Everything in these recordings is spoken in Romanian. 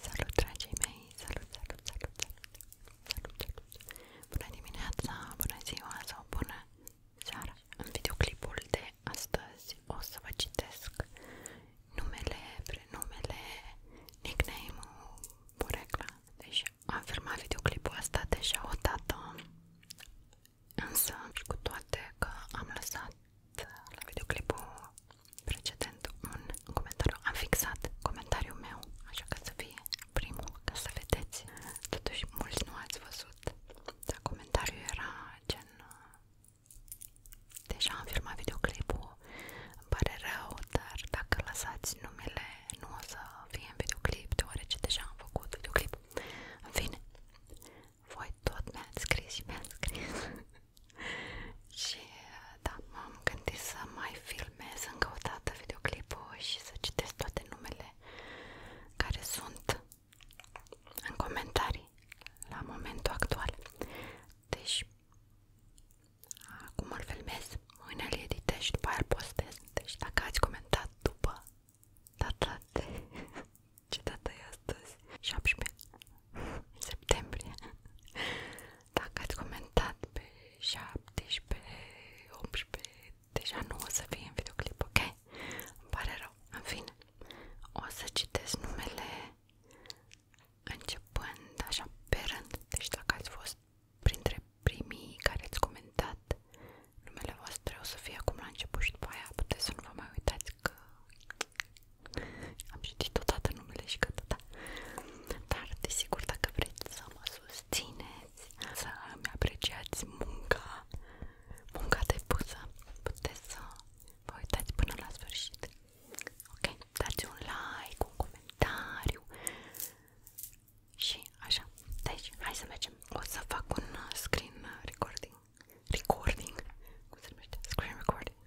Salut dragii mei, salut, salut, salut, salut, salut, salut. Bună dimineața, bună ziua sau bună seara. videoclipul de astăzi o să vă citesc numele, prenumele, nickname-ul, porecla. Deci am filmat videoclipul asta deja o dată, însă cu toate că am lăsat la videoclipul precedent un comentariu, am fixat comentariul meu, așa că să fie primul, ca să vedeți totuși mulți nu ați văzut dar comentariul era gen deja am filmat videoclipul îmi pare rău, dar dacă lăsați numele nu o să fie în videoclip deoarece deja am făcut videoclip în fine voi tot mi-ați scris și mi-ați scris și da, m-am gândit să mai filmez încă o dată videoclipul și să citesc toate numele care sunt în comentarii la momentul actual. Deci, acum îl filmez, mâine îl editez și după aia îl postez. Deci dacă ați comentat după data de... ce data e astăzi? 17 în septembrie. Dacă ați comentat pe 17, 18, deja nu o să fie în videoclip, ok? Îmi pare rău. În fine, o să citesc numele începând așa pe rând. Deci dacă ați fost printre primii care ați comentat numele voastre o să fie acum la început și după aia puteți să nu vă mai uitați că am citit odată numele și gata, da. Dar, desigur, dacă vreți să mă susțineți, să îmi apreciați munca, munca depusă, puteți să vă uitați până la sfârșit. Ok? Dați un like, un comentariu și așa. Deci, hai să mergem. O să fac un uh, screen uh, recording. Recording? Cum se numește? Screen recording.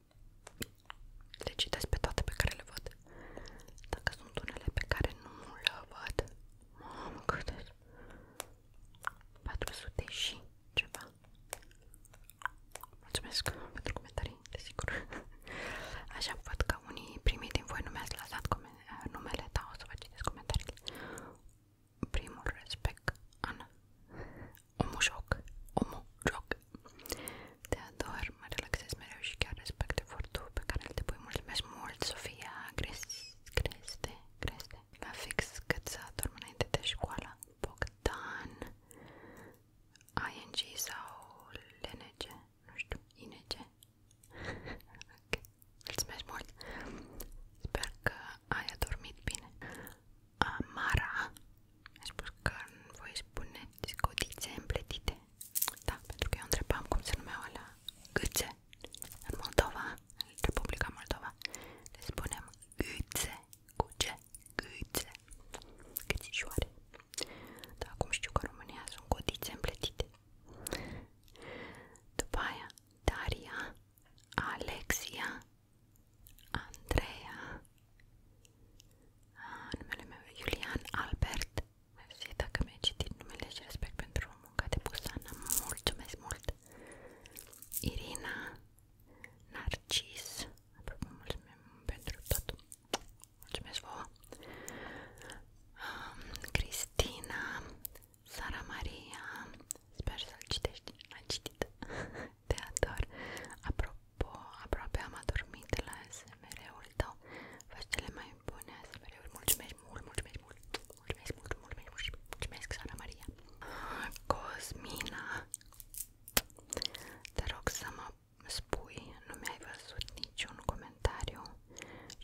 le citesc pe toate pe care le văd. Dacă sunt unele pe care nu le văd, mamă câte 400 și ceva. Mulțumesc pentru comentarii, desigur. Așa văd că unii primii din voi nu mi-ați lăsat numele, dar o să vă citesc comentariile. Primul respect, Ana. Omușoc. Omușoc. Te ador, mă relaxez mereu și chiar respect efortul pe care îl depui. Mulțumesc mult, Sofia Greste, Greste, Greste. La fix cât să adorm înainte de școală. Bogdan, ING sau LNG, nu știu, ING. ok, mulțumesc mult. Sper că ai adormit bine. Mara mi-a spus că voi spuneți codițe împletite da, pentru că eu întrebam cum se numeau alea gâțe în Moldova, în Republica Moldova le spunem gâțe cu ce? gâțe gâțișoare dar acum știu că în România sunt codițe împletite după aia Daria Alexia Andreea ah, Numele meu e Iulian Albert Mersi dacă mi-ai citit numele și respect pentru munca depusă Mulțumesc mult Irina Narcis Mulțumim pentru tot Mulțumesc vouă Cristina Sara Maria Sper să-l citești L-am citit te ador. Apropo, aproape am adormit la SMR-ul tău. Faci cele mai bune SMR-uri. Mulțumesc mult, mulțumesc mult. Mulțumesc mult, mulțumesc mult. Mulțumesc, Sara Maria. Cosmina, te rog să mă spui, nu mi-ai văzut niciun comentariu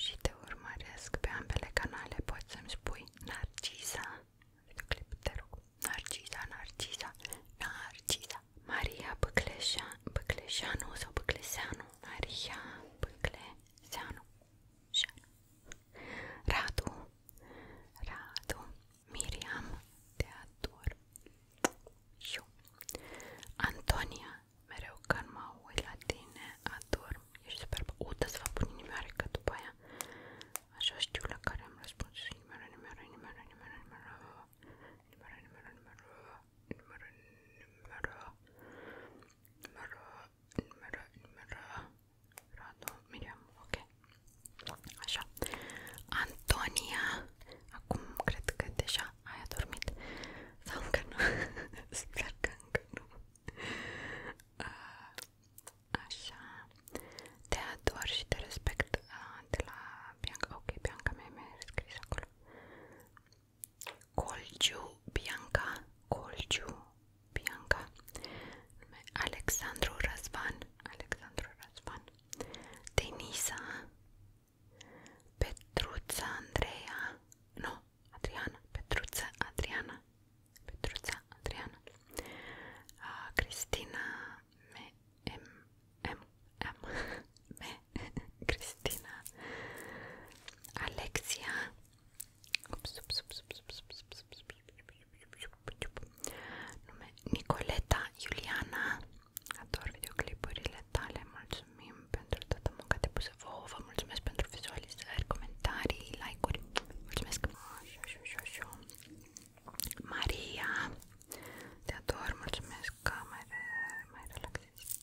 și te urmăresc pe ambele canale. Poți să-mi spui Narcisa clip, te rog. Narcisa, Narcisa, Narcisa, Maria Băcleșa, Băcleșanu sau Băcleșanu, Maria Băcleșanu, Radu, Radu, Miriam, Teator, eu, Antonia, mereu când mă uit la tine, adorm, ești superbă, uite să vă pun inimioare, că după aia Așa știu la care am răspuns. Numără, numără, numără, numără, numără, numără, numără, numără, numără, numără, numără, numără, numără, Radu, Miriam, ok. Așa. Antonia. Acum cred că deja ai adormit. Sau încă nu. Sper că încă nu. Uh, Așa. Te ador și te respect de la Bianca. Ok, Bianca mea mi-a scris acolo. Colciu Bianca. Colciu Bianca. Alexandru Răzvan. Alexandru Răzvan. Denisa. Petruța Andreea. Nu, Adriana. Petruța Adriana. Petruța Adriana. Uh, Cristina M, M, M, M, M, Cristina, Alexia, ups, ups, ups, ups, ups, ups, ups, ups, ups, nume Nicoleta, Iuliana, ador videoclipurile tale, mulțumim pentru toată munca depusă vouă, vă mulțumesc pentru vizualizări, comentarii, like-uri, mulțumesc! Așa, așa, așa, așa. Maria, te ador, mulțumesc că mai, re, mai relaxezi.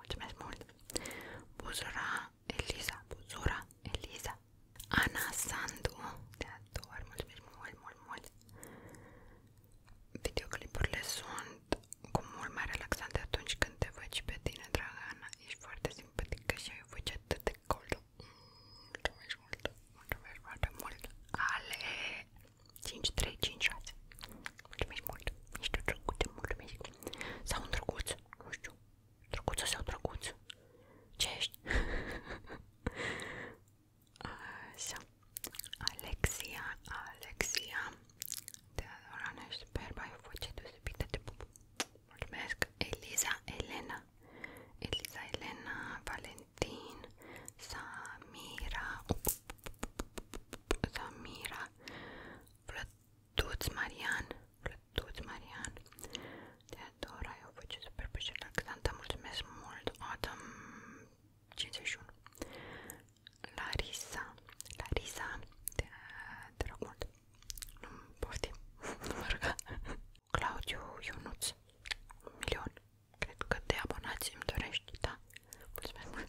Mulțumesc mult. Buzura, Eliza, Buzura, Eliza. Ana Sandu, te ador, mulțumesc mult, mult, mult. Videoclipurile sunt cu mult mai relaxante atunci când te văd și pe tine, draga Ana. Ești foarte simpatică și ai o voce atât de cold Mulțumesc mult, mulțumesc foarte mult Ale 5356 Mulțumesc mult, niște drăguțe, mulțumesc Sau un drăguț, nu știu Drăguță sau drăguț? Ce ești? Așa Alexia, Alexia De Orana, superba, ai o voce deosebită de pup Mulțumesc Eliza, Elena Eliza, Elena, Valen din Samira Samira Plătuț Marian Plătuț Marian Teodora, eu vă ce super plăcere relaxantă, mulțumesc mult Autumn 51 Larisa Larisa, te, te rog mult nu poftim, nu mă ruga Claudiu Ionuț, un milion, cred că de abonați îmi dorești, da, mulțumesc mult.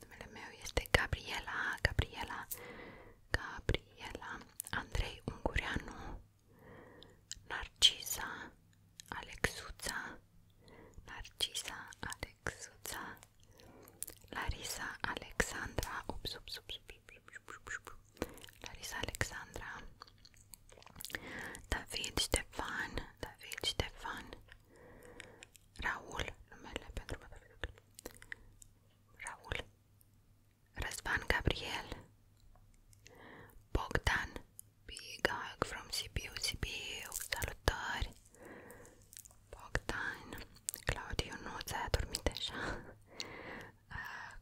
Numele meu este Gabriela, Gabriela, Gabriela, Andrei Ungureanu, Narcisa, Alexuța, Narcisa, Alexuța, Larisa Alexandra, ups, ups, ups, ups, ups, ups, ups, ups. Larisa Alexandra, David Ștefan, David Ștefan, Raul, numele pentru Raul, Răzvan Gabriel, Bogdan, Big Hug from Sibiu, Sibiu, salutări, Bogdan, Claudiu nu ți-a adormit deja, uh,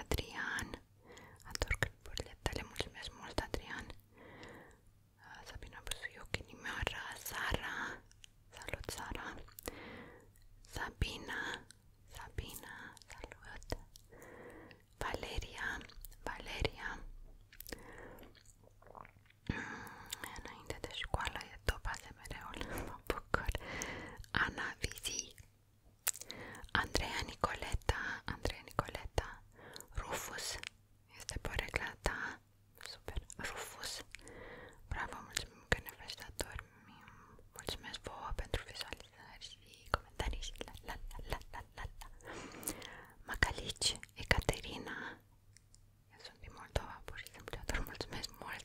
Adrian Ador clipurile tale, mulțumesc mult Adrian uh, Sabina Busuioc, inimioara Sara Salut Sara Sabina Sabina, salut Valeria Valeria mm, Înainte de școală e top ASMR-ul, mă bucur Ana Vizi Andreea Nicoleta, Andreea Nicoleta, Rufus, este porecla ta, super, Rufus, bravo, mulțumim că ne faci dator, mulțumesc vouă pentru vizualizări și comentarii și la la la la la la Macalici, Ecaterina, eu sunt din Moldova, pur și simplu, dar mulțumesc mult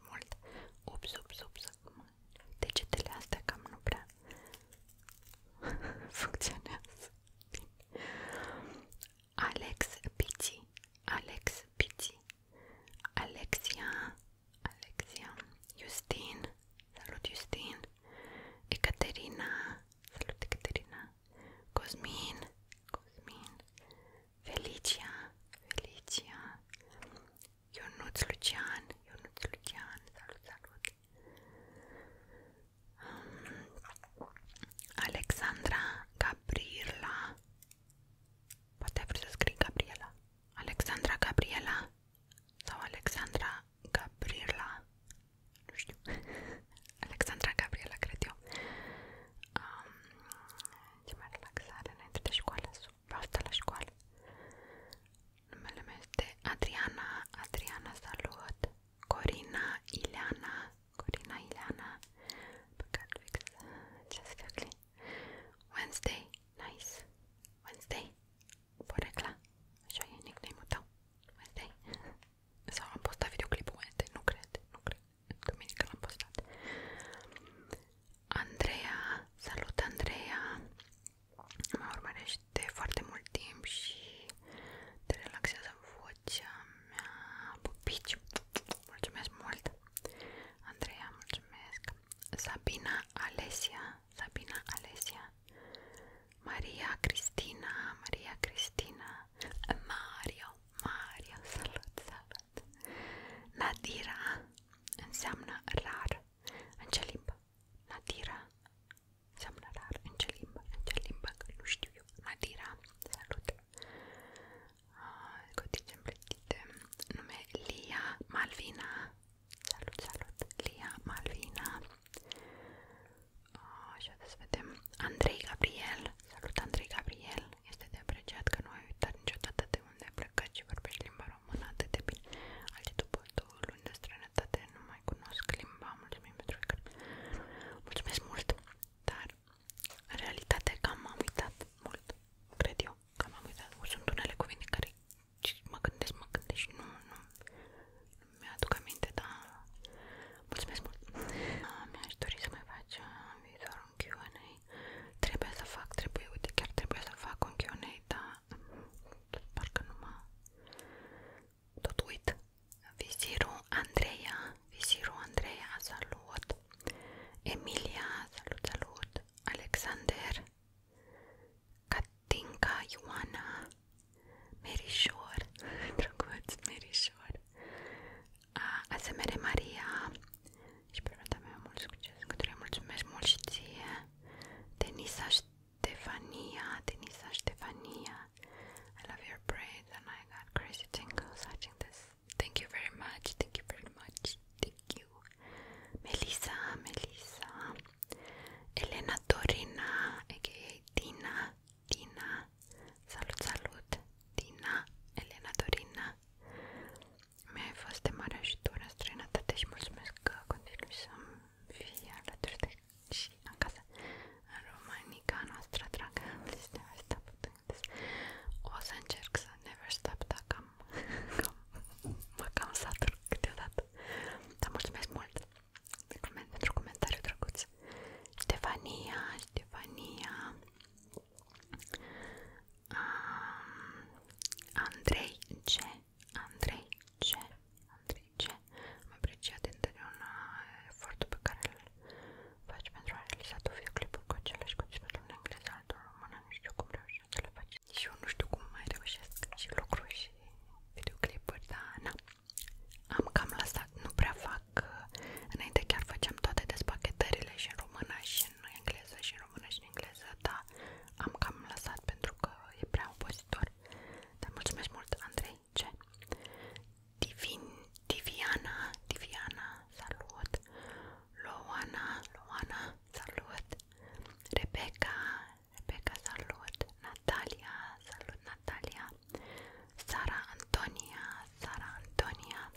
super mult ups, ups, ups, degetele astea cam nu prea funcționează Alex Pizzi Alex Pizzi Alexia Alexia Justin Salut Justin Ecaterina Salut Ecaterina Cosmin Cosmin Felicia, Felicia, Ionuț Lucian, Ionuț Lucian, salut, salut. Um, Alexandra Gabriela, poate vrei să scrii Gabriela, Alexandra Gabriela sau Alexandra Gabriela, nu știu, Alexandra Gabriela, cred eu. Um, ce mai relaxare înainte de școală, super asta la școală. Numele meu este Adriana, Adriana Salut, Corina, Ileana, Corina, Ileana, păcat fix, ce ugly. Wednesday, nice, Wednesday, porecla, așa e nickname-ul tău, Wednesday. Sau am postat videoclipul Wednesday, nu cred, nu cred, duminică l-am postat. Andreea, salut Andreea, mă urmărești de foarte mult timp și te relaxează vocea mea, pupici, mulțumesc mult, Andreea, mulțumesc, Sabina Alesia, Sabina Alesia, Maria Cristina, Maria Cristina, Mario, Mario, salut, salut, Nadira înseamnă rar în ce limbă? Nadira înseamnă rar în ce limbă? În ce limbă? Că nu știu eu. Nadira, salut! Cotice ah, împletite. Nume Lia Malvina. Salut, salut! Lia Malvina. Așa ah, să vedem. Andrei Gabriel. Salut, Andrei Gabriel. Este de apreciat că nu ai uitat niciodată de unde ai plecat și vorbești limba română atât de bine. Alții după două luni de străinătate nu mai cunosc limba. Mulțumim pentru că... Mulțumesc mult, dar în realitate cam am uitat mult, cred eu, cam am uitat. Sunt unele cuvinte care mă gândesc, mă gândesc și nu, nu, nu mi-aduc aminte, dar mulțumesc mult. Mi-aș dori să mai faci uh, în viitor un Q&A Trebuie să fac, trebuie, uite, chiar trebuie să fac un Q&A, dar parcă nu mă... Tot uit. Viziru Andreea, Viziru Andreea, salut! Emilia, salut, salut! Alexander, Catinca, Ioana, Merișor, drăguț, Merișor, Asemere Maria, și permite mea mult succes, către mulțumesc mult și ție, Denisa Stefania, Denisa Stefania, I love your braids and I got crazy tingles watching this, thank you very much, thank you very much, thank you, Melissa, Melissa, Elena Dorina, aka Dina, salut, salut, Dina, Elena Dorina, Mi-ai fost de mare ajutor în străinătate și mulțumesc că continui să fii alături de și acasă în Românica noastră, dragă Alice, never stop O să încerc să never stop, dar cam, cam, mă cam satur câteodată. Dar mulțumesc mult pentru comentariu drăguț. Stefania, Stefania, Um, Andrei C. Andrei C. Andrei C. Am apreciat din totdeauna uh, efortul pe care îl faci pentru a realiza tu videoclipuri cu același conținut în engleză, altul în română, nu știu cum reușești să le faci. Și eu nu știu cum mai reușesc și lucruri și videoclipuri, dar na. Am cam lăsat, nu prea fac. Uh, înainte chiar făceam toate despachetările și în română și în engleză și în română și în engleză, dar am cam lăsat pentru că e prea opozitor. Dar mulțumesc mult, Andrei. Ce? Divin, Diviana, Diviana, salut! Loana, Loana, salut! Rebecca, Rebecca, salut! Natalia, salut Natalia! Sara Antonia, Sara Antonia,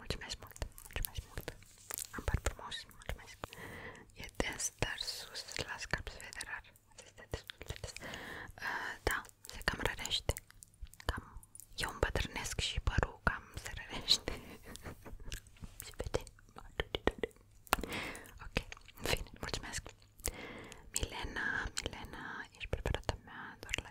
Mulțumesc mult, mulțumesc mult. Am par frumos, mulțumesc. E des, dar sus la scap se vede rar. Este destul de des. Uh, da, se cam rărește. Cam, eu îmbătrânesc și părul cam se rărește. se vede. Ok, în fine, mulțumesc. Milena, Milena, ești preferata mea doar la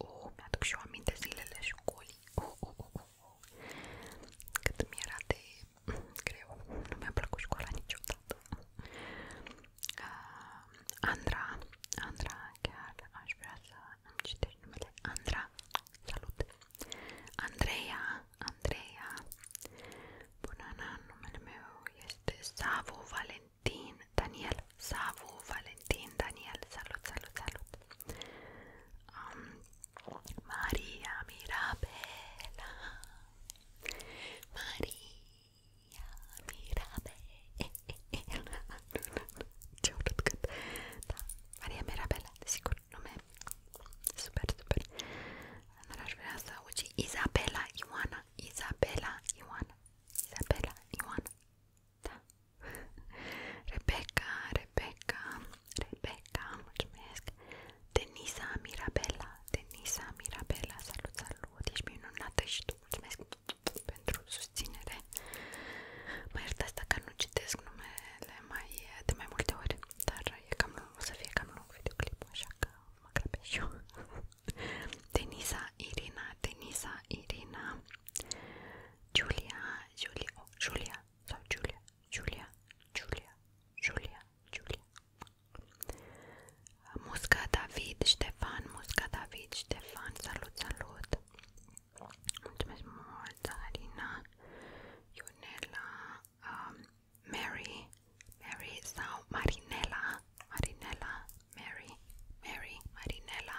Oh, mi-aduc și eu aminte zilele școlii. Oh, oh, oh, oh. oh. Cât mi era de greu. Nu mi-a plăcut școala niciodată. Uh, Andra, Andra, chiar aș vrea să îmi citești numele. Andra, salut! Andreea, Andreea. Bună, na, numele meu este Savo Valentin Daniela. Savu, Valentin, Daniel, salut, salut, salut um, Maria Mirabela Maria Mirabela Ce urât cât da. Maria Mirabela, desigur, nume super, super Dar aș vrea să auzi Izabela Ioana Izabela Ioana Izabela Ioana da. Rebecca, Rebecca, Rebecca, mulțumesc. Denisa Mirabella, Denisa Mirabella, salut, salut, ești minunată și tu, mulțumesc pentru susținere. Mă iertați dacă nu citesc numele mai, de mai multe ori, dar e cam lung, o să fie cam lung videoclipul, așa că mă grăbesc eu. Denisa Irina, Denisa Irina, Julia, Julia, oh, Julia sau Julia, Julia, Julia, Julia, Julia. Uh, Musca David, Ștefan, Musca David, Ștefan, salut, salut. Mulțumesc mult, Zarina, Ionela, um, Mary, Mary sau Marinela, Marinela, Mary, Mary, Marinela,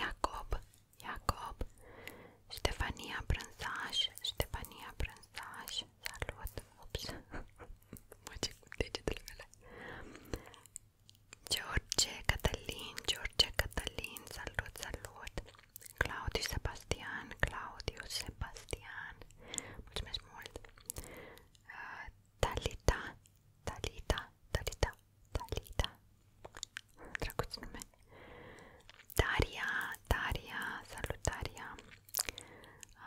Iacob, Iacob, Ștefania Brânzaș, Ștefania Brânzaș, salut, ups, face cu degetele mele, George, Cătălin, George, Cătălin, salut, salut, Claudiu Sebastian, Claudiu Sebastian, mulțumesc mult, uh, Talita, Talita, Talita, Talita, drăguț nume. Daria, Daria, salut Daria.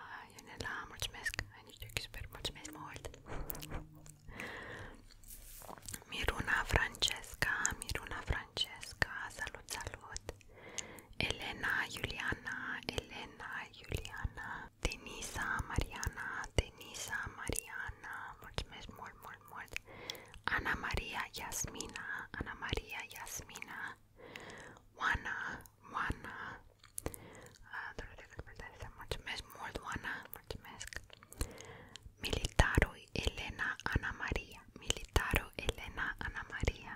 Ah, Ionela, mulțumesc, ai niște ochi super, mulțumesc mult. Miruna Francesca, Miruna Francesca, salut, salut. Elena, Iuliana, Elena, Iuliana, Denisa, Mariana, Denisa, Mariana, mulțumesc mult, mult, mult Ana Maria, Iasmina, Ana Maria, Iasmina Oana, Oana Mulțumesc mult, Oana, mulțumesc Militarul Elena, Ana Maria Militarul Elena, Ana Maria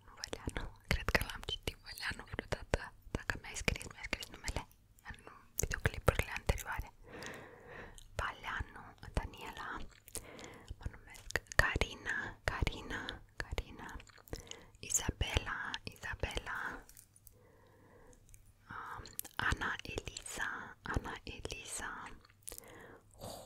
nu Văleanu, cred că l-am citit Văleanu vreodată, dacă mi-ai scris, mi-ai scris numele în videoclipurile anterioare. Valeanu, Daniela, mă numesc Carina, Carina, Carina, Isabela, Isabela, um, Ana Elisa, Ana Elisa, oh,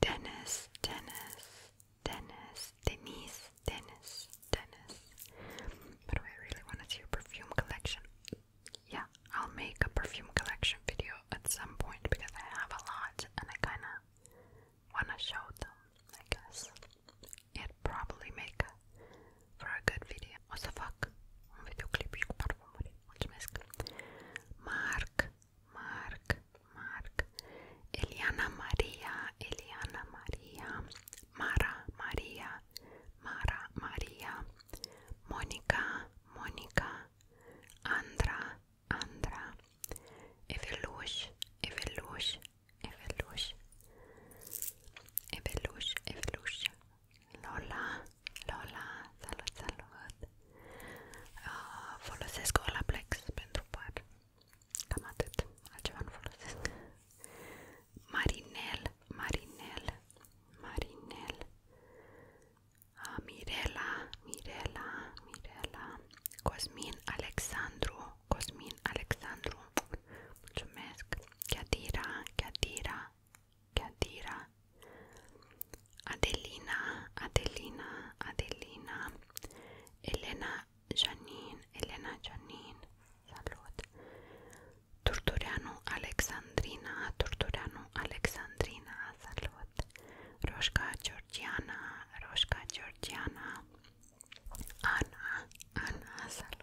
Dennis, Dennis, Dennis, Denise, Dennis, Dennis. But I really want to see your perfume collection. Yeah, I'll make a perfume collection video at some point because I have a lot and I kind of want to show them, I guess. It'd probably make a, for a good video. What the fuck? Um videoclipe com perfumaria. Mulțumesc. Mark Mark, Mark, Eliana Maria, Eliana Maria, Mara Maria, Mara Maria, Monica, Monica, Andra, Andra, Evelush, Evelush, Evelush, Evelush, Evelush, Lola, Lola, Salut, Salut. Uh, folosesc Olaplex pentru păr. Cam atât. Altceva nu folosesc. Marinel, Marinel, Marinel. Uh, Mirela, Mirela, Mirela. Cosmin Alexandru, Cosmin Alexandru. Mulțumesc. Chiatira, Chiatira, Chiatira. Adelina, Adelina, Adelina, Elena Janin, Elena Janine, salut. Turtureanu Alexandrina, Turtureanu Alexandrina, salut. Roșca Georgiana, Roșca Georgiana, Ana, Ana, salut.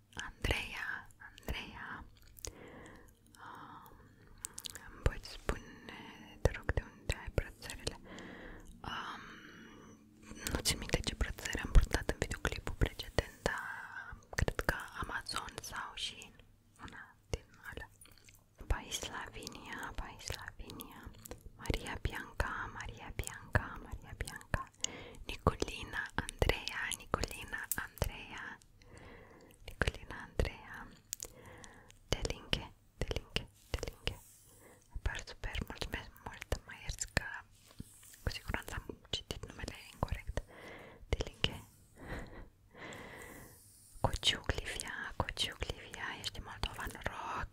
Andreea, Andreea, um, îmi poți spune, te rog, de unde ai brățările? Um, nu țin minte ce brățări am purtat în videoclipul precedent, dar cred că Amazon sau și una din alea. Pai Slavinia, Pai Slavinia, Maria Bianca, Maria Bianca, Maria Bianca, Nicolina, Andreea, Nicolina, Andreea, Nicolina Andreea Delinche, Delinche, Delinche Par super, mulțumesc mult, mai ierți că cu siguranță am citit numele incorrect Delinche Cociuc Livia, Cociuc Livia, ești moldovan rock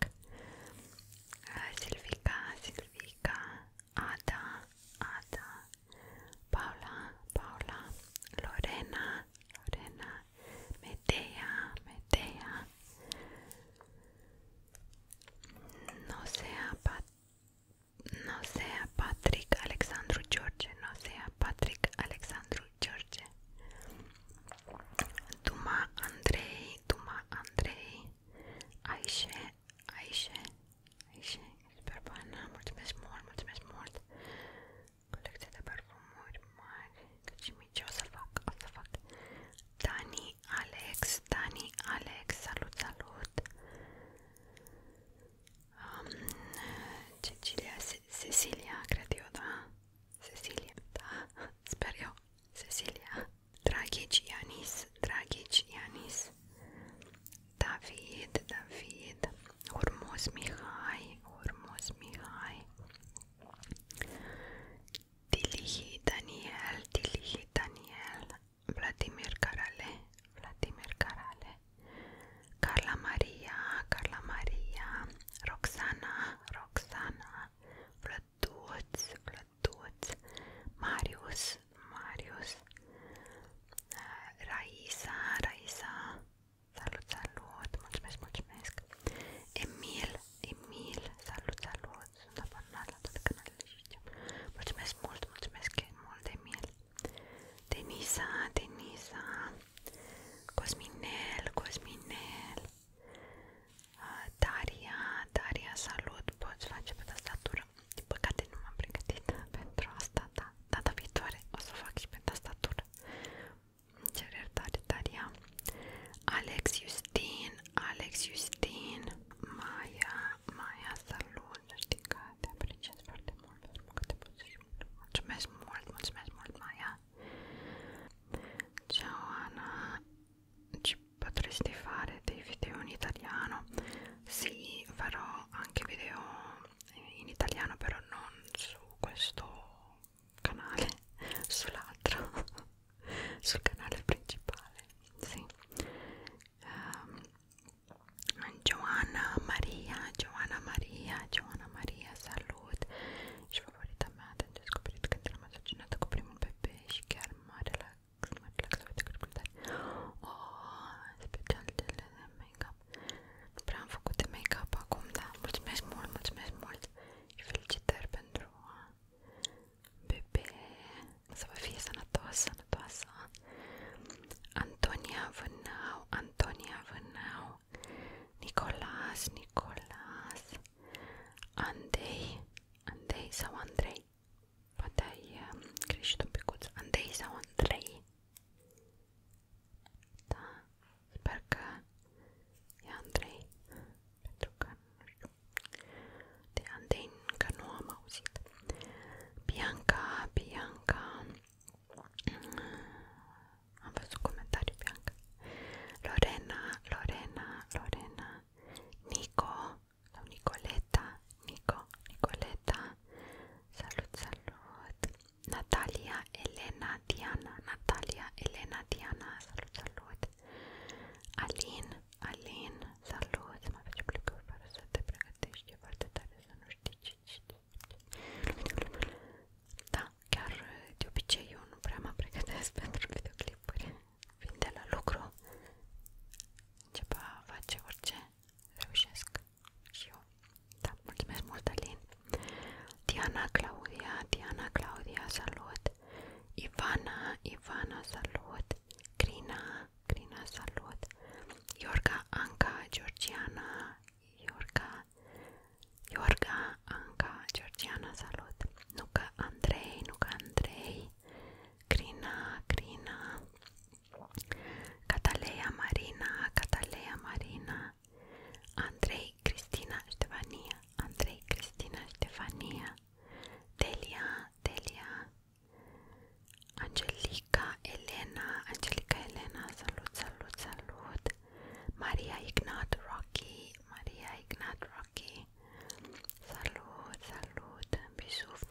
Silvica, Silvica Ada, Ada, Paula, Paula, Lorena, Lorena, Medea, Medea, no sea, Patrick Alexandru George, no sea Patrick Alexandru George, Duma Andrei, Duma Andrei, Aishe, Aici, aici, Superbana, mulțumesc mult, mulțumesc mult Colecție de parfumuri mari, cât și mici, să fac, să fac Dani, Alex, Dani, Alex, salut, salut um, Cecilia, Cecilia, cred da? Cecilia, da? Sper eu Cecilia Dragici Ianis, Dragici Ianis David, David, Hormuz Mihai, Hormuz Mihai, Dilihi Daniel, Dilihi Daniel, Vladimir Karale, Vladimir Karale, Carla Maria, Carla Maria, Roxana, Roxana, Vladuț, Vladuț, Marius, Marius, da, Raisa, Raisa, salut, salut, mulțumesc, mulțumesc, Emil, Emil, salut, salut, sunt abonat la toate canalele și știu. Mulțumesc mult, mulțumesc mult, Emil, Denisa, Denisa, Cosminel, Cosminel, ah, Daria, Daria, salut, poți face pe asta tastatură. Din pregătit pentru asta, da. Data viitoare o să fac și pe tastatură. Îmi cer Daria. Alex Justin, Alex Justin, Maia, Maia, salut, știi că te apreciez foarte mult pentru că te poți Mulțumesc mult, mulțumesc mult, Maia. Ciao Ana, ci potresti fare dei video in italiano? sì farò anche video in italiano però non su questo canale sull'altro sul canale principale sì um, ehm, Giovanna Maria Giovanna Maria Giovanna Maria salute și favorită mea de descoperit că trebuie să cineva coprim un pe pe și chiar mare la Oh, special cele de make-up nu prea make-up acum, da, mulțumesc mult, mulțumesc mult și felicitări pentru uh, bebe să fie sănătos, sănătoasă Antonia Vânau, Antonia Vânau Nicolas, Nicolas Andrei, Andrei sau Andrei Poate ai uh, greșit un picuț. Andrei sau Andrei? Da, sper că e Andrei, pentru că nu știu. De Andrei încă nu am auzit. Bianca, Bianca, mm, am văzut comentariu Bianca. Lorena, Lorena, Lorena, Nico, sau Nicoleta, Nico, Nicoleta, salut, salut, Natalia, Elena, Diana, Natalia, Elena, Diana, salut, salut, Alin, Alin, salut, mă face plicuri fără să te pregătești, e foarte tare să nu știi ce Da, chiar de obicei eu nu prea mă pregătesc pentru videoclipuri, vin de la lucru, începa face orice reușesc și eu. Da, mulțumesc mult, Alin. Diana Claudia, Diana Claudia, salut. Ivana, Ivana, salut. Crina, Crina, salut. Iorga, Anca, Georgiana, Iorga, Iorga, Anca, Georgiana, salut. Nuca Andrei, Nuca Andrei. Crina, Crina, Cataleya Marina, Cataleya Marina, Andrei Cristina Stefania, Andrei Cristina Stefania, Delia, Delia, Angelica Elena, Angelica Elena, salut, salut, salut, Maria Ignat Rocky, Maria Ignat Rocky, salut, salut, bisous.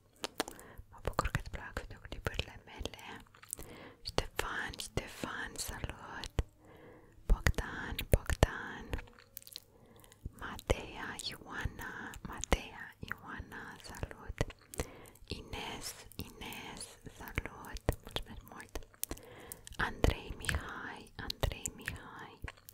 Mă bucur că-ți plac videoclipurile Ștefan, Ștefan, salut! Bogdan, Bogdan! Matea, Ioana, Matea, Ioana, salut! Ines, Ines, salut! Mulțumesc mult! Andrei Mihai, Andrei Mihai,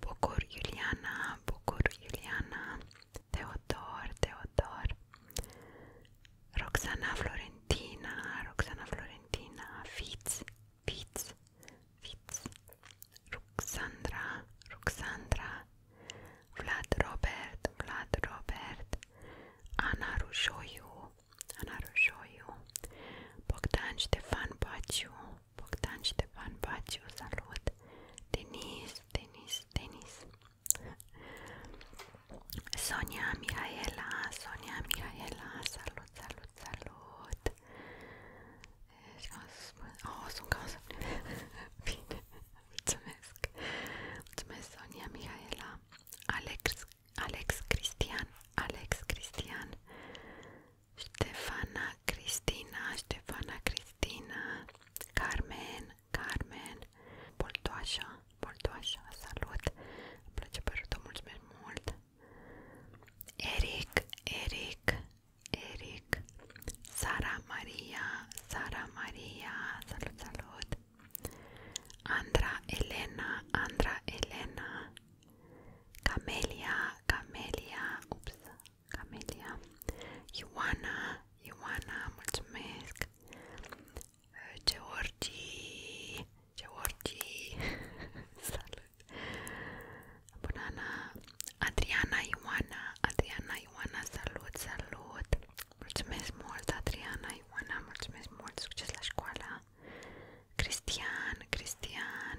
Bucur Iuliana, Bucur Iuliana, Teodor, Teodor, Roxana Florentina, Roxana Florentina, Fiți, Fiți, Fiți, Ruxandra, Ruxandra, Vlad Robert, Vlad Robert, Ana Rujoiu, Ana Rujoiu, Bogdan Ștefan Baciu, Bogdan Ștefan Baciu, salut! Denis, Denis, Denis! Sonia Mihaela, Sonia Mihaela, salut, salut, salut! Oh, sunt ca să Bine, mulțumesc! Mulțumesc, Sonia Mihaela! Alex, Alex Cristian, Alex Cristian, Ștefana Cristina, Ștefana Cristina, Carmen, Carmen, Boltoașa, Boltoașa, salut, îmi place părătul, mulțumesc mult, Eric, Eric, Eric, Sara Maria, Sara Maria, salut, salut, Andra Elena, Andra Elena, Camelia, Camelia, ups, Camelia, Ioana, Ioana, mulțumesc, uh, Georgi, Georgi, salut, Bunana, Adriana, Ioana, Adriana, Ioana, salut, salut, mulțumesc mult, Adriana, Ioana, mulțumesc mult, succes la școală, Cristian, Cristian,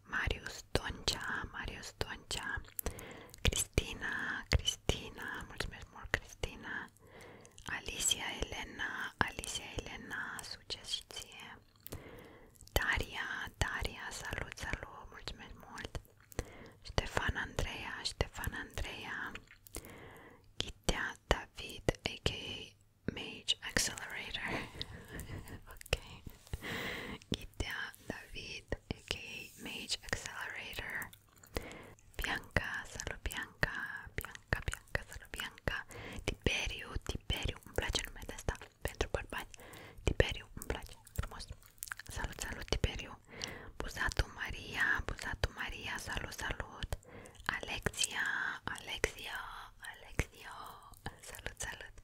Marius Doncea, Marius Doncea, Cristina, Cristina, mulțumesc mult Cristina, Alicia Elena, Alicia Elena, succes și ție, Daria, Daria, salut, salut, mulțumesc mult, Ștefan Andreea, Ștefan Andreea, Ghitea David, a.k.a. Mage Accelerator, ok, Ghitea David aka Mage Accelerator, Bianca, Salubianca, Bianca, Bianca, Salubianca, Tiberiu, Tiberiu, îmi place numele ăsta pentru bărbați, Tiberiu, îmi place, frumos, salut, salut Tiberiu, Buzatu Maria, Buzatu Maria, salut, salut, Alexia, Alexia, Alexia, salut, salut,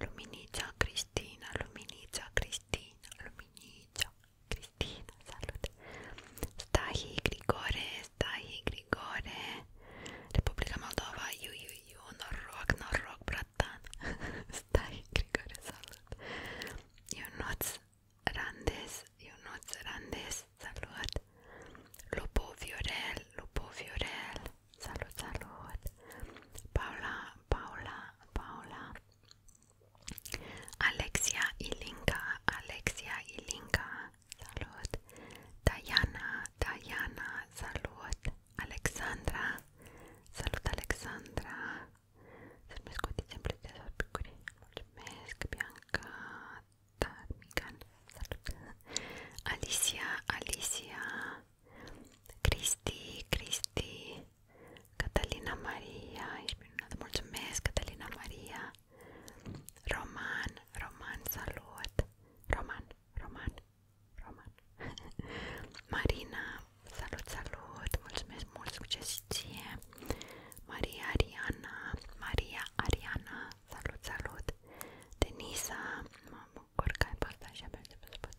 Luminița Cristina, Luminița Cristina, Luminița Cristina, salut! Stahi Grigore, Stahi Grigore, Republica Moldova, iu, iu, iu, noroc, noroc, bratan! Stahi Grigore, salut! Ionuț Randes, Ionuț Randes, salut! Lupu Viorel, Lupu Viorel, salut, salut! Paula, Paula, Paula Alexia Ilinka, Alexia Ilinka, salut. Diana, Diana, salut. Alexandra, salut Alexandra. Să-mi scotiți în salut. Alicia, Alicia, Cristi, Cristi, Catalina Maria, ești minunată, mulțumesc Catalina Maria, Roman, Roman, salut, Roman, Roman, Roman, Marina, salut, salut, mulțumesc mult, succes ție, Maria Ariana, Maria Ariana, salut, salut, Denisa, mă bucur că ai partajat, abia aștept să pot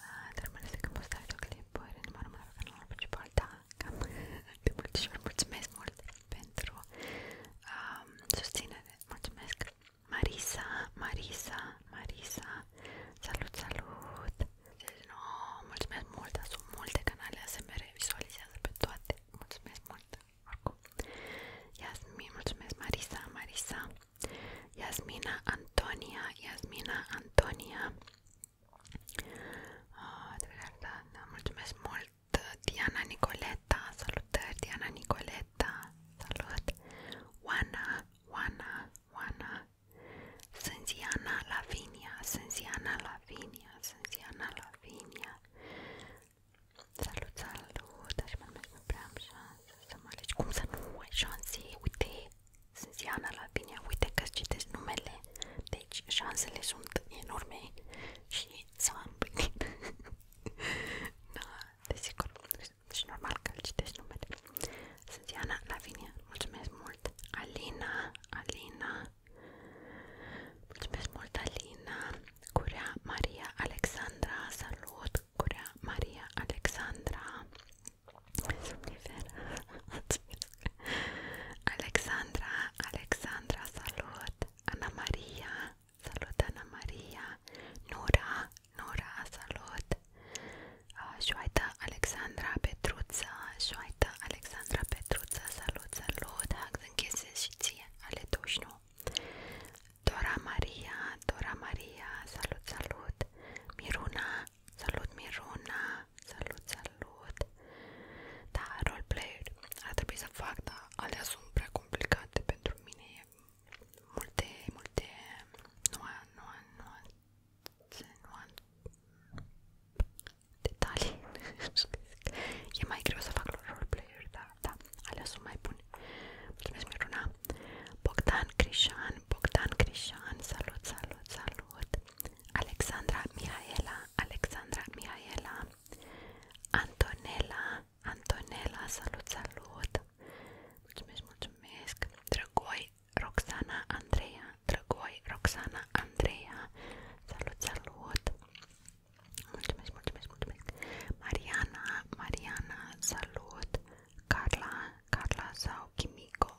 Ah, dar mai ales că am postat videoclipuri în numărul meu pe canalul da, cam de multișori mulțumesc mult pentru um, susținere, mulțumesc! Marisa, Marisa, Marisa, salut, salut! Deci, no, mulțumesc mult, sunt multe canale ASMR, vizualizează pe toate, mulțumesc mult! Oricum, Iasmin, mulțumesc Marisa, Marisa! Iasmina Antonia, Iasmina Antonia uh, Mulțumesc mult Diana Nicoleta, salutări Diana Nicoleta, salut Oana, Oana, Oana Sânziana Lavinia, Sânziana Lavinia, Sânziana Lavinia Salut, salut, aș mai mult nu prea am șansă să mă alegi Cum să nu ai șanse? Uite, sunt Iana la bine, uite că citești numele, deci șansele sunt enorme și s-a împlinit. da, desigur, și deci, normal că îl citești numele. Sunt Iana la bine, mulțumesc mult. Alina, Alina, mulțumesc mult Alina. Curea Maria Alexandra, salut! Curea Maria Alexandra Somnifera Alexandra, Alexandra, salut Ana Maria, salut Ana Maria Nura, Nura, salut uh, ah, Joaita Alexandra Petruța Joaita Alexandra Petruța, salut, salut Hac închise și ție, ale dușnu Dora Maria, Dora Maria, salut, salut Miruna, Salut Miruna, salut salut. Da, roleplayer ar trebui să fac, dar alea sunt pentru mine e multe, multe nuan, nuan, nuan, nuan detalii E mai greu să fac roleplayer, dar da, alea sunt mai bune Mulțumesc Miruna Bogdan Crișan, Bogdan Crișan, salut, salut, salut Alexandra Mihaela, Alexandra Mihaela Antonella, Antonella, salut, salut Mulțumesc, mulțumesc Drăgoi, Roxana, Andrea, Drăgoi, Roxana, Andrea, Salut, salut Mulțumesc, mulțumesc, mulțumesc Mariana, Mariana, salut Carla, Carla sau Kimiko.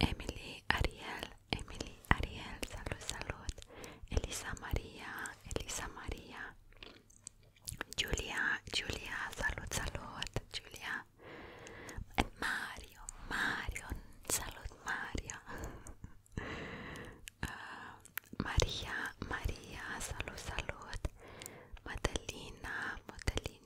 Emily Ariel, Emily Ariel, salud, salud. Elisa María, Elisa María. Julia, Julia, salud, salud, Julia. Eh, Mario, Mario, salud, Mario. Ah, María, María, salud, salud. Madelina, Madelina.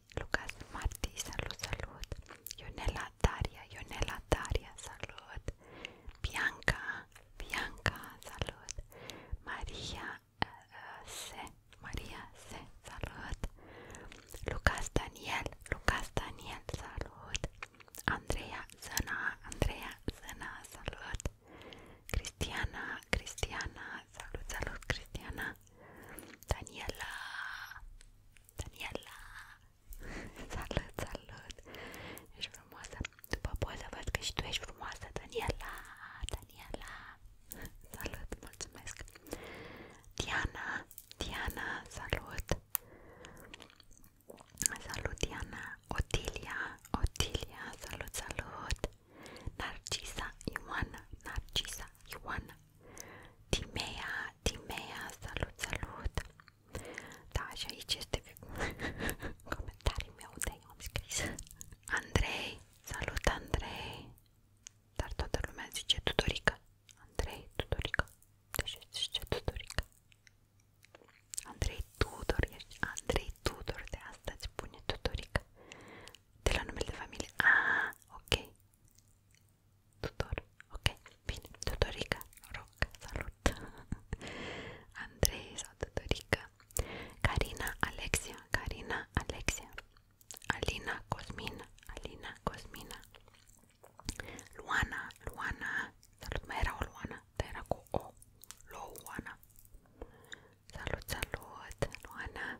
Lucas Martí, salud, salud. Ionela Daria, Ionela Daria, salud. Bianca, Bianca, salud. Maria, se, María se, eh, eh, salud. Lucas Daniel, Lucas Daniel, salud. Andrea Zana, Andrea Zana, salud. Cristiana Cristiana, salut, salut Cristiana, Daniela, Daniela, salut, salut, ești frumoasă, după poza văd că și tu ești frumoasă, Daniela, Daniela, salut, mulțumesc, Diana, Diana, salut, salut Diana, Otilia, Otilia, salut, salut, Narcisa Ioana, Narcisa Ioana, Timea, Timea, salut, salut! Da, și aici este comentariul meu de eu am scris. Andrei, salut Andrei! Dar toată lumea zice Tudorica. Andrei Tudorica. Deci zice Tudorica. Andrei Tudor, ești Andrei Tudor, de asta îți pune Tudorica. de la de familia. Ah, ok. Tutor, ok. Bien, tutorica, roca, salud. Andrés, tutorica. Karina, Alexia, Karina, Alexia. Alina, Cosmina, Alina, Cosmina. Luana, Luana. Salud, me era o Luana, te era o Luana. Salud, salud, Luana.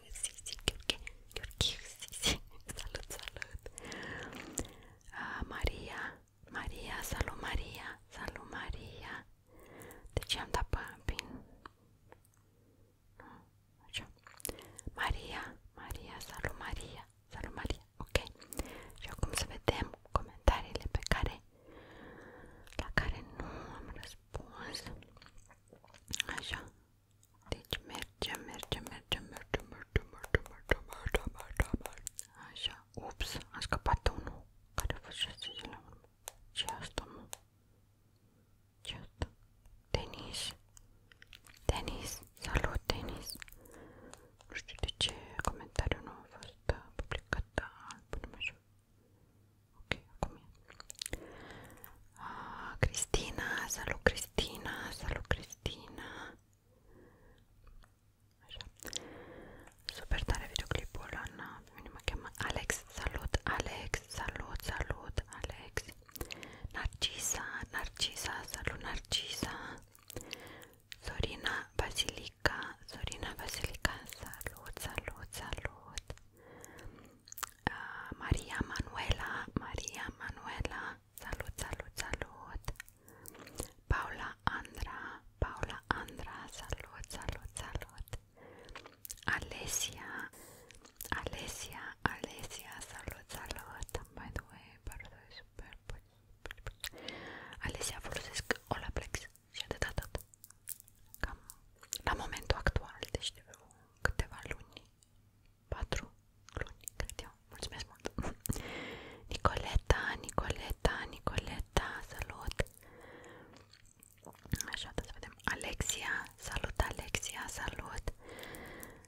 Gheorghiu Gheorghe, Gheorghiu Sisi, salut, salut! Uh, Maria, Maria, salut Maria, salut Maria! De ce am dat pin? Nu, așa. Maria, Maria, salut Maria, salut Maria, ok. Și acum să vedem comentariile pe care, la care nu am răspuns. Așa, deci mergem, mergem, mergem, mergem, mergem, mergem, mergem, mergem, mergem, mergem. Așa, ups, a scăpat unul care a fost 6 zile urmă. Ce asta, mă? Ce asta? Denis. Denis, salut, Denis. Nu știu de ce comentariul nu a fost uh, publicat, dar punem așa. Ok, acum e. Ah, Cristina, salut Cristina, salut Cristina Așa. Super tare videoclipul ăla, na, pe mine mă cheamă Alex, salut Alex, salut, salut Alex Narcisa, Narcisa, salut Narcisa Sorina Basilica, Sorina Basilica, salut, salut, salut uh, Maria Manuela, Maria Manuela, salut, salut, salut Paula Andra, Paula Andra, salut, salut, salut Alesia, Alesia, Alesia, salut, salut By the way, paradise, super, Alesia, folosesc Olaplex și atât, atât Cam la momentul actual, deci de câteva luni 4 luni, cred eu. Mulțumesc mult! Nicoleta, Nicoleta, Nicoleta, salut! Așa, da, să vedem. Alexia, salut Alexia, salut!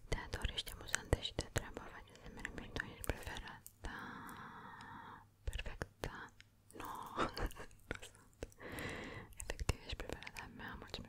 Te ador, ești amuzantă și te treaba, face să merg mișto, ești preferat. Da, perfect, da. No, nu sunt. Efectiv, ești preferata mea, mulțumesc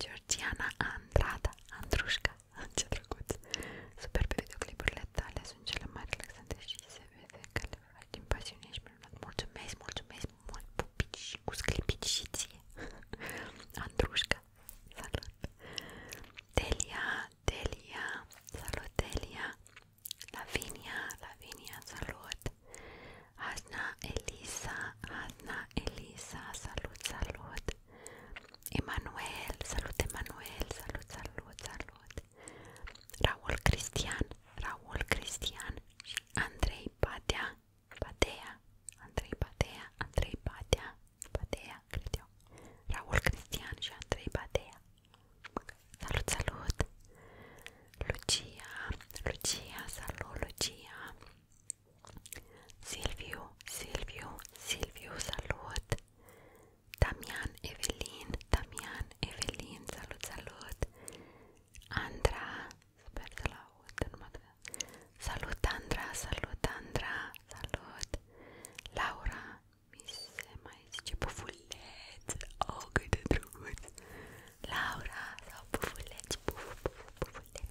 Georgiana Andrada, Andrușca, ce drăguț! Superbe videoclipurile tale, sunt cele mai relaxante și se vede că le faci din pasiune și minunat. Mulțumesc, mulțumesc mult, pupici și cu sclipici și ție! Andrușca, salut! Delia, Delia, salut Delia! Lavinia, Lavinia, salut! Hasna Elisa, Hasna Elisa, salut, salut! Emanuel, salut Emanuel, salut, salut, salut Raul Cristian, Raul Cristian și Andrei Patea, Patea, Andrei Patea, Andrei Patea, Patea, cred eu Raul Cristian și Andrei Patea Salut, salut Lucia, Lucia, salut Lucia Silviu, Silviu, Silviu, salut! Damian, Evelin, Damian, Evelin, salut, salut! Andra, sper să-l aud, Salut, Andra, salut, Andra, salut! Laura, mi se mai zice pufuleț, oh, cât de drăguț! Laura, sau pufuleț, pufu, pufu, pufuleț!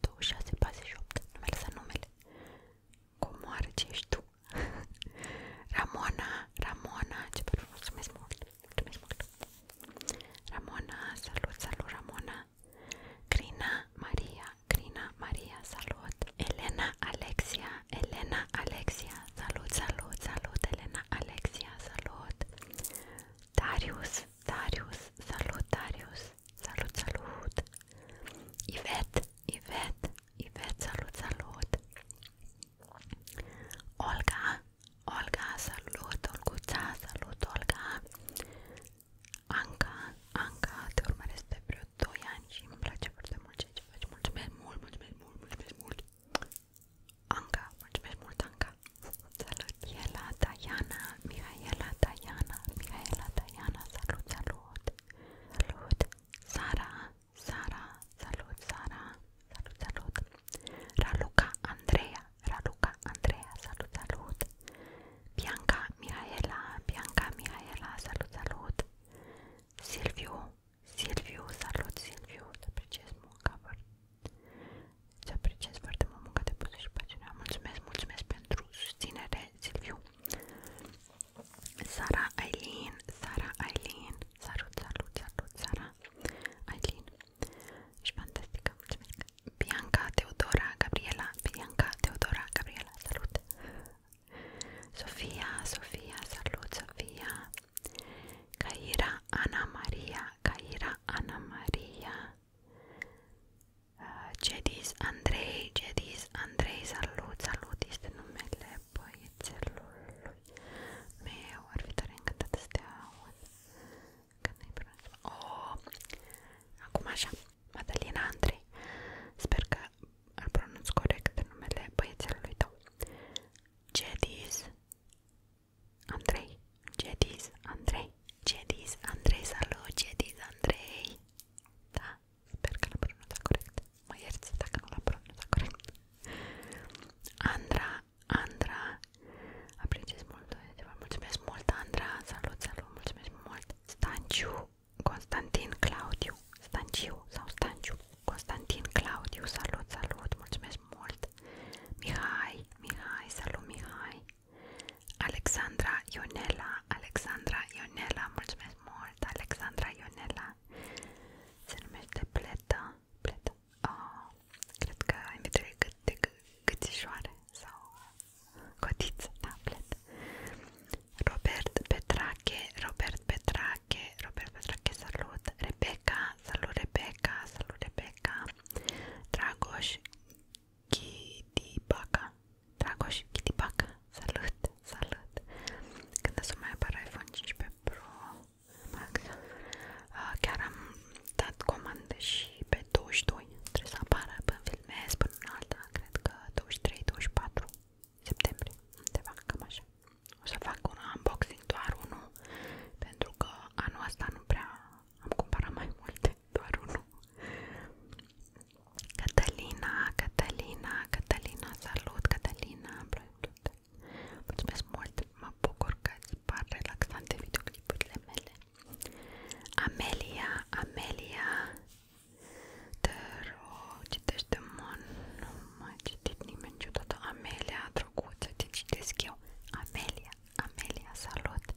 2648, nu mi-a lăsat numele. Comoară ce ești tu? Ramona, Ramona, ce părere, mulțumesc mult, mulțumesc mult. Ramona, salut, salut Ramona. Crina, Maria, Crina, Maria, salut. Elena, Alexia, Elena, Alexia, salut, salut, salut, Elena, Alexia, salut. Darius, Darius, salut Darius. Salut, salut! Ivet, Ivet, Ivet, salut, salut! Olga, Olga, salut, Olguța, salut, Olga! Anca, Anca, te urmăresc de vreo 2 ani și îmi place foarte mult ceea ce faci. Mulțumesc mult, mulțumesc mult, mulțumesc mult! Anca, mulțumesc mult, Anca! Salut! Mihaela, Diana, Mihaela, Diana, Mihaela, Diana, salut, salut, salut, Sara, Sara, salut, Sara, salut, salut, Raluca, Andreea, Raluca, Andreea, salut, salut, Bianca, Mihaela, Bianca, Mihaela, salut, salut, Silviu, Silviu, salut, Silviu, te apreciez munca, te apreciez foarte mult munca de pusă și pasiunea, mulțumesc, mulțumesc pentru susținere, Silviu. Sara Aileen, Sara Aileen, salut, salut, salut, Sara Aileen. Și fantastică, mulțumesc. Bianca Teodora Gabriela, Bianca Teodora Gabriela, salut. Sofia, Sofia, salut, Sofia. Caira Ana Maria, Caira Ana Maria. Cedis uh, Andrei, Cedis Andrei, salut, salut, este numele băiețelului meu, ar fi tare încântată să te aud când ai pronunțat oh, acum așa, Madalina Andrei sper că îl pronunț corect numele băiețelului tău Cedis Andrei, Cedis Andrei Cedis Andrei, salut, Cedis Andrei Da, sper că l-am pronunțat corect Mă ierți dacă nu l-am pronunțat corect Andra, Andra Apreciez mult, mulțumesc mult Andra Salut, salut, mulțumesc mult Stanciu, Constantin, Claudiu Stanciu sau Stanciu Constantin, Claudiu, salut, salut Mulțumesc mult Mihai, Mihai, salut Mihai Alexandra Ionela, Alexandra Ionela, mulțumesc mult, Alexandra Ionela, se numește Pleta, Pleta, oh, cred că ai vedere cât de gățișoare sau cotiță, da, Pleta. Robert Petrache, Robert Petrache, Robert Petrache, salut, Rebecca, salut Rebecca, salut Rebecca, Dragoș Chitipaca. Dragoș, Chitipaca, salut, salut. Când o să mai apară iPhone 15 Pro Max, uh, chiar am dat comandă și pe 22. Trebuie să apară până filmez, până în alta, cred că 23-24 septembrie, undeva, cam așa. O să fac un unboxing, doar unul, pentru că anul ăsta nu prea am cumpărat mai multe, doar unul. Catalina, Catalina, Catalina, salut Catalina, am plăcut. Mulțumesc mult, mă bucur că îți par relaxante videoclipurile mele. Amelia, Amelia, te rog, citește-mă, nu m-a citit nimeni niciodată. Amelia, drăguță, te citesc eu. Amelia, Amelia, salut!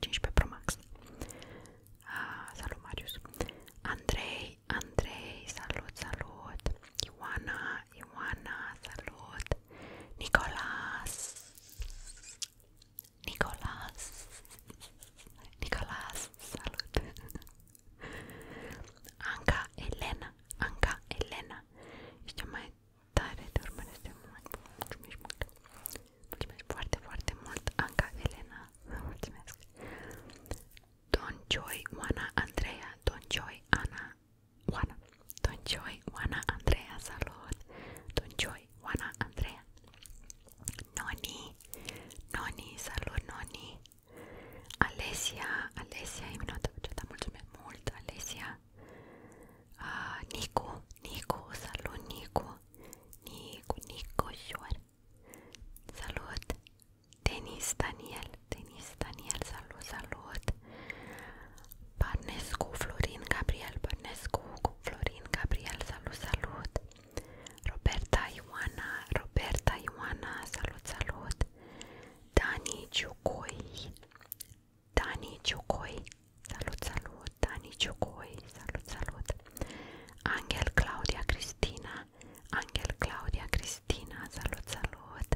15 Pro Max. Ah, salut, Marius. Andrei, Andrei, salut, salut. Ioana, Ioana, salut. Nicolas. Nicolas. Nicolas, salut. Anca Elena, Anca Elena. Ești mai tare, te urmăresc de mult. Mulțumesc mult. Mulțumesc foarte, foarte mult, Anca Elena. Mulțumesc. Don Joy, Oana, Andreea. Don Joy, Ana, Oana. Don Joy, Oana, Andreea, salut. Don Joy, Oana, Andreea. Noni, Noni, salut, Noni. Alesia, Alesia, e minuată da, mulțumesc mult, Alesia. Uh, Nicu, Nicu, salut Nicu. Nico, Nico Shuar. Salud. Denis Daniel, Denis Daniel, salut, salut. Barnescu, Florin Gabriel, Barnescu, Florin Gabriel, salut, salut. Roberta Ioana, Roberta Ioana, salut, salut. Dani Ciucoi, Dani Ciucoi, salut, salut. Salut, Dani Ciocoi, salut, salut Angel Claudia Cristina, Angel Claudia Cristina, salut, salut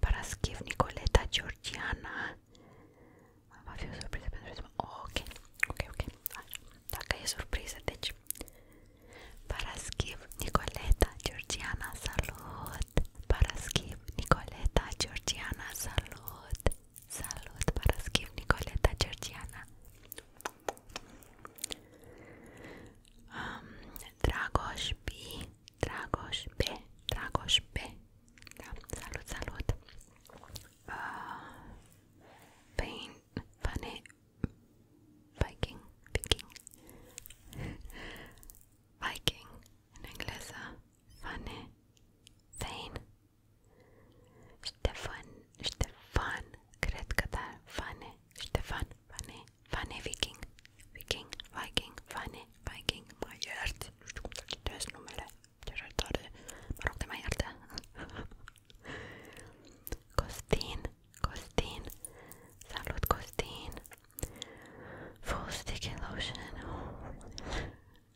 Paraschiv Nicoleta Georgiana Va fi o surpriză pentru ok, ok, ok Așa. Dacă e surpriză, deci Paraschiv Nicoleta Georgiana, salut Paraschiv Nicoleta Georgiana, salut Salut Paraskiw Nicoleta Georgiana um, Dragoș B Dragoș B Dragoș B da, Salut, salut uh, Pain Funny Viking Viking Viking în engleză Funny Fane Stefan, Stefan, cred că da, Fane, Stefan, Fane, Fane Viking, Viking, Viking, Fane, Viking, mă iert, nu știu cum să citesc numele, ce tare, mă rog de mai iartă. Costin, Costin, salut Costin, full sticky lotion, oh.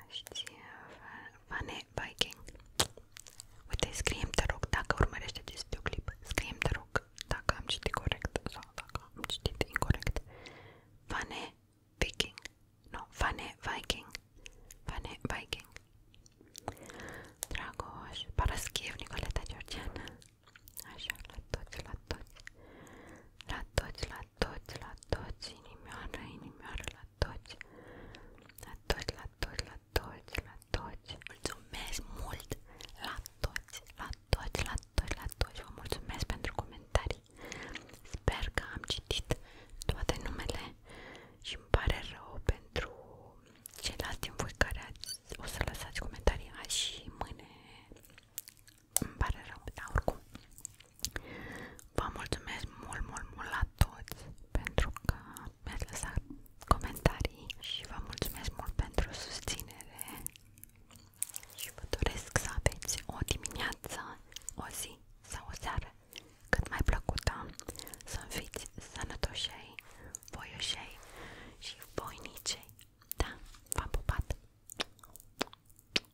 Aștia uh, Vane Viking Uite, scrie te rog, dacă urmărești acest videoclip scrie te rog, dacă am citit corect sau dacă am citit incorect Vane Viking Nu, Vane Viking Vane Viking Dragoș Paraschiev Nicoleta Georgiana Așa, la toți, la toți La toți, la toți, la toți, inimioară, inimioară, la toți La toți, la toți, la toți, la toți Mulțumesc mult la toți, la toți, la toți, la toți Vă mulțumesc pentru comentarii Sper că am citit toate numele și îmi pare rău pentru ceilalți din voi care ați, o să lăsați comentarii azi și mâine îmi pare rău, dar oricum Vă mulțumesc mult, mult, mult la toți pentru că mi-ați lăsat comentarii și vă mulțumesc mult pentru susținere și vă doresc să aveți o dimineață, o zi sau o seară cât mai plăcută, să fiți sănătoșei, voioșei și voinicei. Da, v-am pupat!